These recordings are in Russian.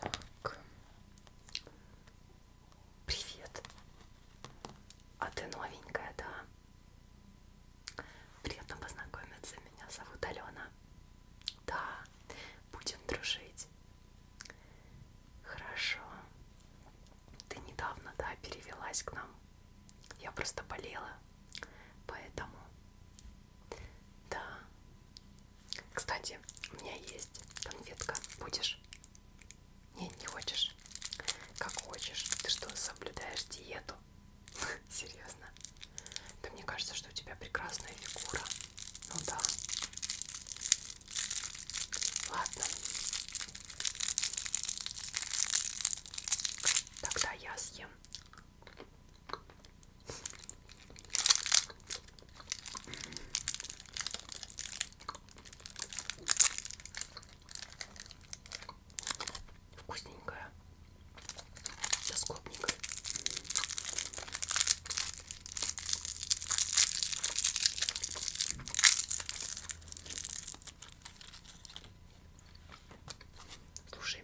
Так. Привет. А ты новенькая, да? Приятно познакомиться. Меня зовут Алена. Да, будем дружить. Хорошо. Ты недавно, да, перевелась к нам. Я просто болела. Поэтому да. Кстати, у меня есть конфетка. Будешь? Нет, не хочешь? Как хочешь. Ты что, соблюдаешь диету? Серьезно? Да мне кажется, что у тебя прекрасная фигура. Ну да. Ладно. Тогда я съем Вкусненькая. Со скобникой. Слушай,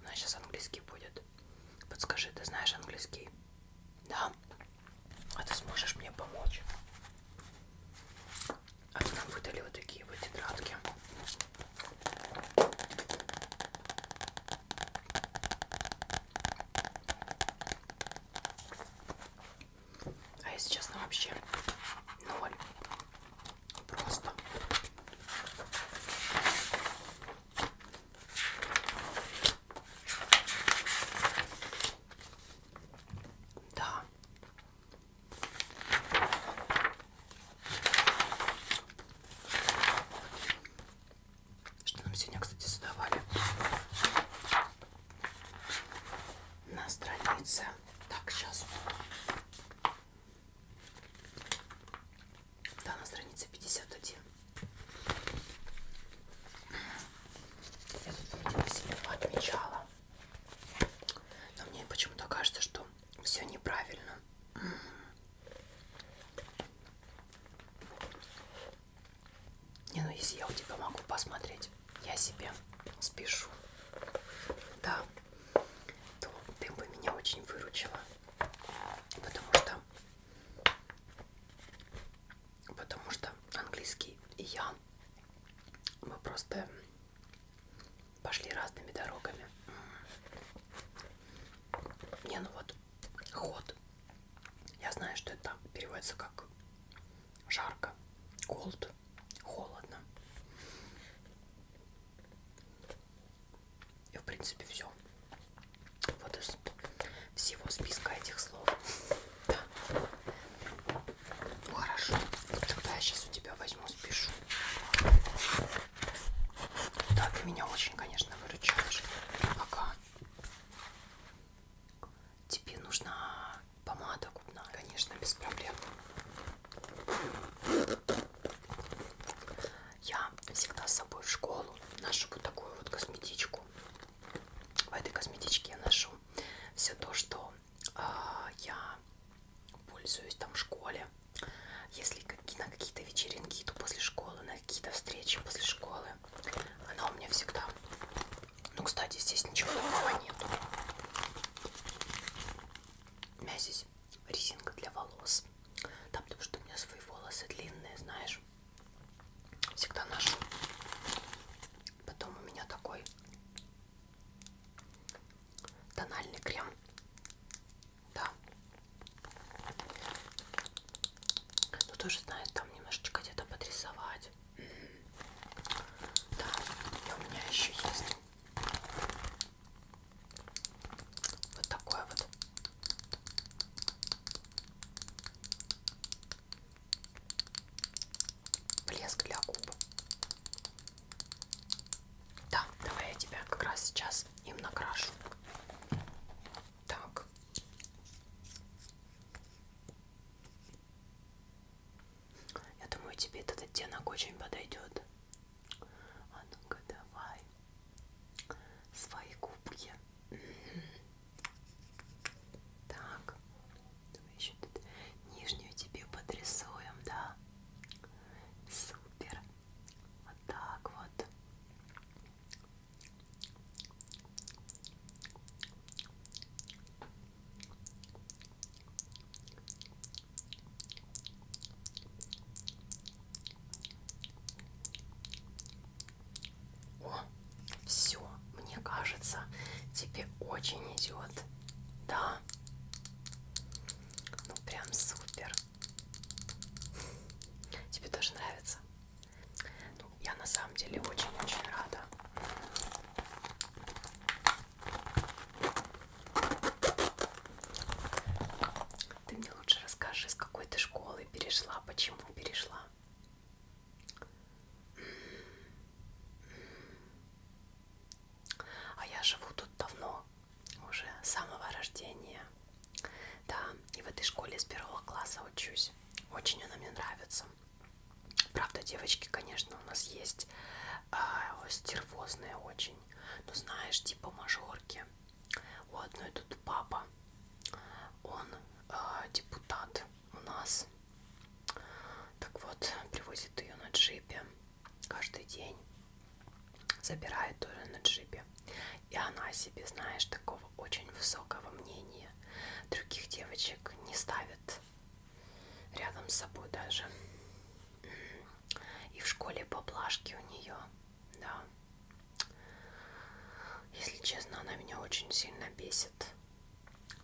у нас сейчас английский будет. Подскажи, ты знаешь английский? Да. А ты сможешь мне помочь? А то нам выдали вот такие вот тетрадки. А если честно, вообще ноль Просто. Да. Что нам сегодня, кстати, задавали? На странице. Так, сейчас. Да, на странице 51. Я тут вроде бы себе отмечала. Но мне почему-то кажется, что все неправильно. Не, ну если я у тебя могу посмотреть, я себе спешу. Да то ты бы меня очень выручила. Потому что потому что английский и я мы просто пошли разными дорогами. Не, ну вот ход. Я знаю, что это переводится как жарко, cold холодно. И в принципе все. Вот из всего списка этих слов. Да. Ну, хорошо. Тогда я сейчас у тебя возьму, спешу. Да, ты меня очень, конечно, выручаешь. Ага. Тебе нужна помада губная, конечно, без проблем. Я всегда с собой в школу ношу вот такую вот косметичку. В этой косметичке я ношу все то, что э, я пользуюсь там в школе. Если на какие-то вечеринки иду после школы, на какие-то встречи после школы, она у меня всегда. Ну, кстати, здесь ничего такого нету. У меня здесь резинка для волос. Да, потому что у меня свои волосы длинные, знаешь. Всегда ношу. Потом у меня такой тональный крем. Да. Ну тоже знает, там немножечко где-то подрисовать. Да, и у меня еще есть вот такой вот. Блеск для губ. Да, давай я тебя как раз сейчас им накрашу. Так. Я думаю, тебе этот оттенок очень подойдет. А ну-ка, давай. Свои губки. Так. Давай еще тут нижнюю тебе подрисуем, да? Супер. Вот так вот. О, все, мне кажется, тебе очень идет. Да. Ну прям супер. Тебе тоже нравится? Ну, я на самом деле очень-очень рада. Ты мне лучше расскажи, с какой ты школы перешла, почему перешла. А я живу тут давно, уже с самого рождения. Да, и в этой школе с первого класса учусь. Очень она мне нравится. Правда, девочки, конечно, у нас есть э, стервозные очень. Ну, знаешь, типа мажорки. У одной тут папа, он э, депутат у нас. Так вот, привозит ее на джипе каждый день. Забирает тоже на джипе. И она себе, знаешь, такого очень высокого мнения. Других девочек не ставит рядом с собой даже. И в школе поблажки у нее, да. Если честно, она меня очень сильно бесит.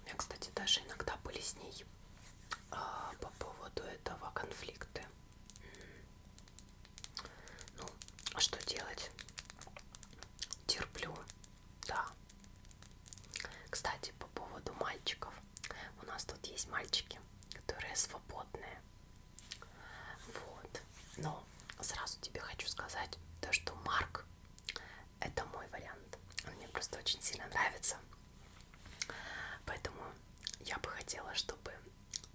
У меня, кстати, даже иногда были с ней а, по поводу этого конфликты. Ну, а что делать? Терплю, да. Кстати, по поводу мальчиков. У нас тут есть мальчики, которые свободные. Вот. Но сразу тебе хочу сказать, то, что Марк это мой вариант. Он мне просто очень сильно нравится. Поэтому я бы хотела, чтобы э,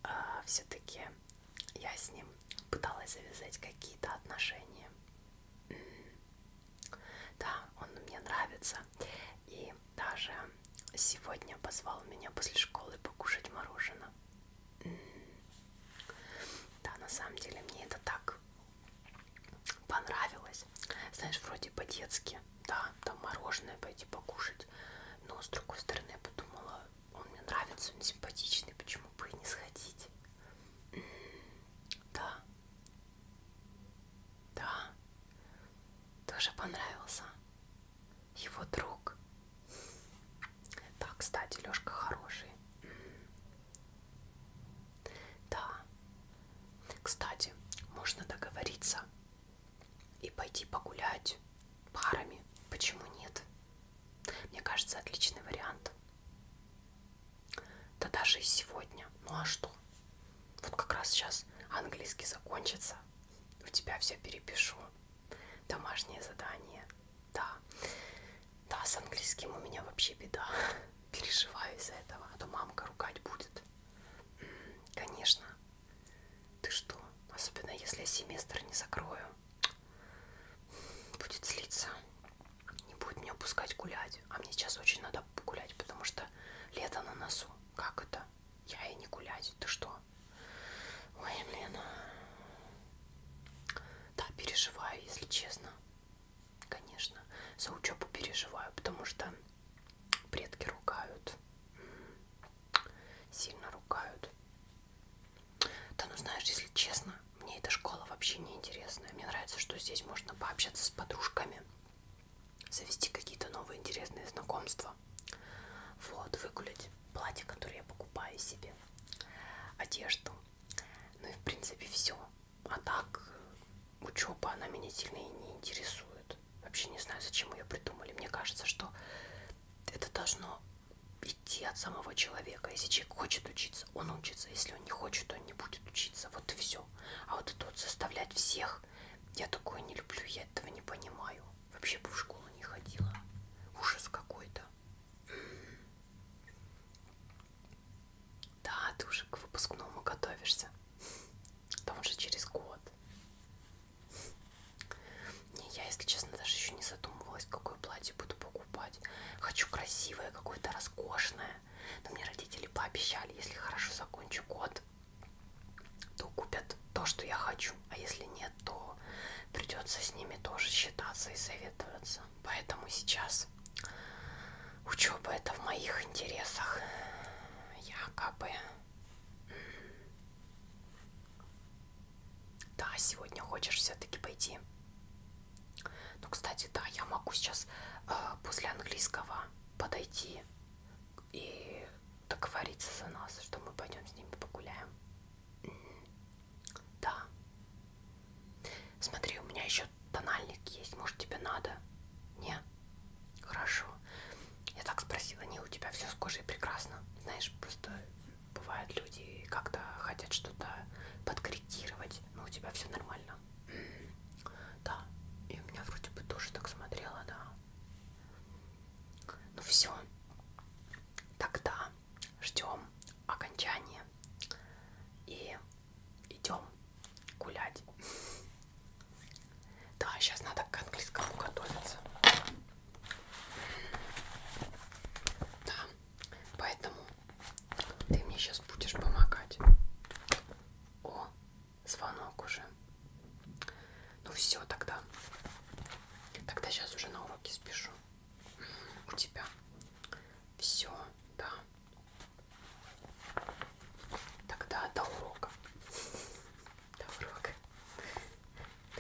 а, все-таки я с ним пыталась завязать какие-то отношения. Да, он мне нравится. И даже сегодня позвал меня после школы покушать мороженое. Да, на самом деле мне это так понравилось. Знаешь, вроде по-детски, да, там мороженое пойти покушать. Но с другой стороны я подумала, он мне нравится, он симпатичный, почему бы и не сходить? Да. Да. Тоже понравился. Его друг. Да, кстати, Лешка хороший. Да. Кстати, можно договориться и пойти погулять парами. Почему нет? Мне кажется, отличный вариант. Да даже и сегодня. Ну а что? Вот как раз сейчас английский закончится. У тебя все перепишу. Домашнее задание. Да. Да, с английским у меня вообще беда. Переживаю из-за этого. А то мамка ругать будет. Конечно. Ты что? Особенно если я семестр не закрою будет злиться, не будет меня пускать гулять. А мне сейчас очень надо гулять, потому что лето на носу. Как это? Я и не гулять. Ты что? Ой, блин. Да, переживаю, если честно. Конечно. За учебу переживаю, потому что предки ругают. Сильно ругают. Да ну знаешь, если честно, мне эта школа вообще не интересная. Мне нравится, что здесь можно пообщаться с подружками, завести какие-то новые интересные знакомства. Вот, выгулять платье, которое я покупаю себе, одежду. Ну и в принципе все. А так учеба, она меня сильно и не интересует. Вообще не знаю, зачем ее придумали. Мне кажется, что это должно идти от самого человека. Если человек хочет учиться, он учится. Если он не хочет, он не будет учиться. Вот и все. А вот это вот заставлять всех, я такое не люблю, я этого не понимаю. Вообще бы в школу не ходила. Ужас какой-то. Да, ты уже к выпускному готовишься. Там уже через год. Не, я, если честно, даже еще не задумывалась, какое платье буду покупать покупать. Хочу красивое, какое-то роскошное. Но мне родители пообещали, если хорошо закончу год, то купят то, что я хочу. А если нет, то придется с ними тоже считаться и советоваться. Поэтому сейчас учеба это в моих интересах. Я как бы да, сегодня хочешь все-таки пойти. Ну, кстати, да, я могу сейчас э, после английского подойти и договориться за нас, что мы пойдем с ними погуляем. Да. Смотри, у меня еще тональник есть. Может, тебе надо? Не? Хорошо. Я так спросила, не, у тебя все с кожей прекрасно. Знаешь, просто бывает люди как-то хотят что-то подкорректировать, но у тебя все нормально. Да, и у меня вроде бы тоже так смотрела, да. Ну все, тогда ждем окончания и идем гулять. Да, сейчас надо к английскому готовиться. Да, поэтому ты мне сейчас будешь помогать. О, звонок уже. Ну все тогда. Тогда сейчас уже на уроке спешу. У тебя все, да. Тогда до урока. До урока. Да.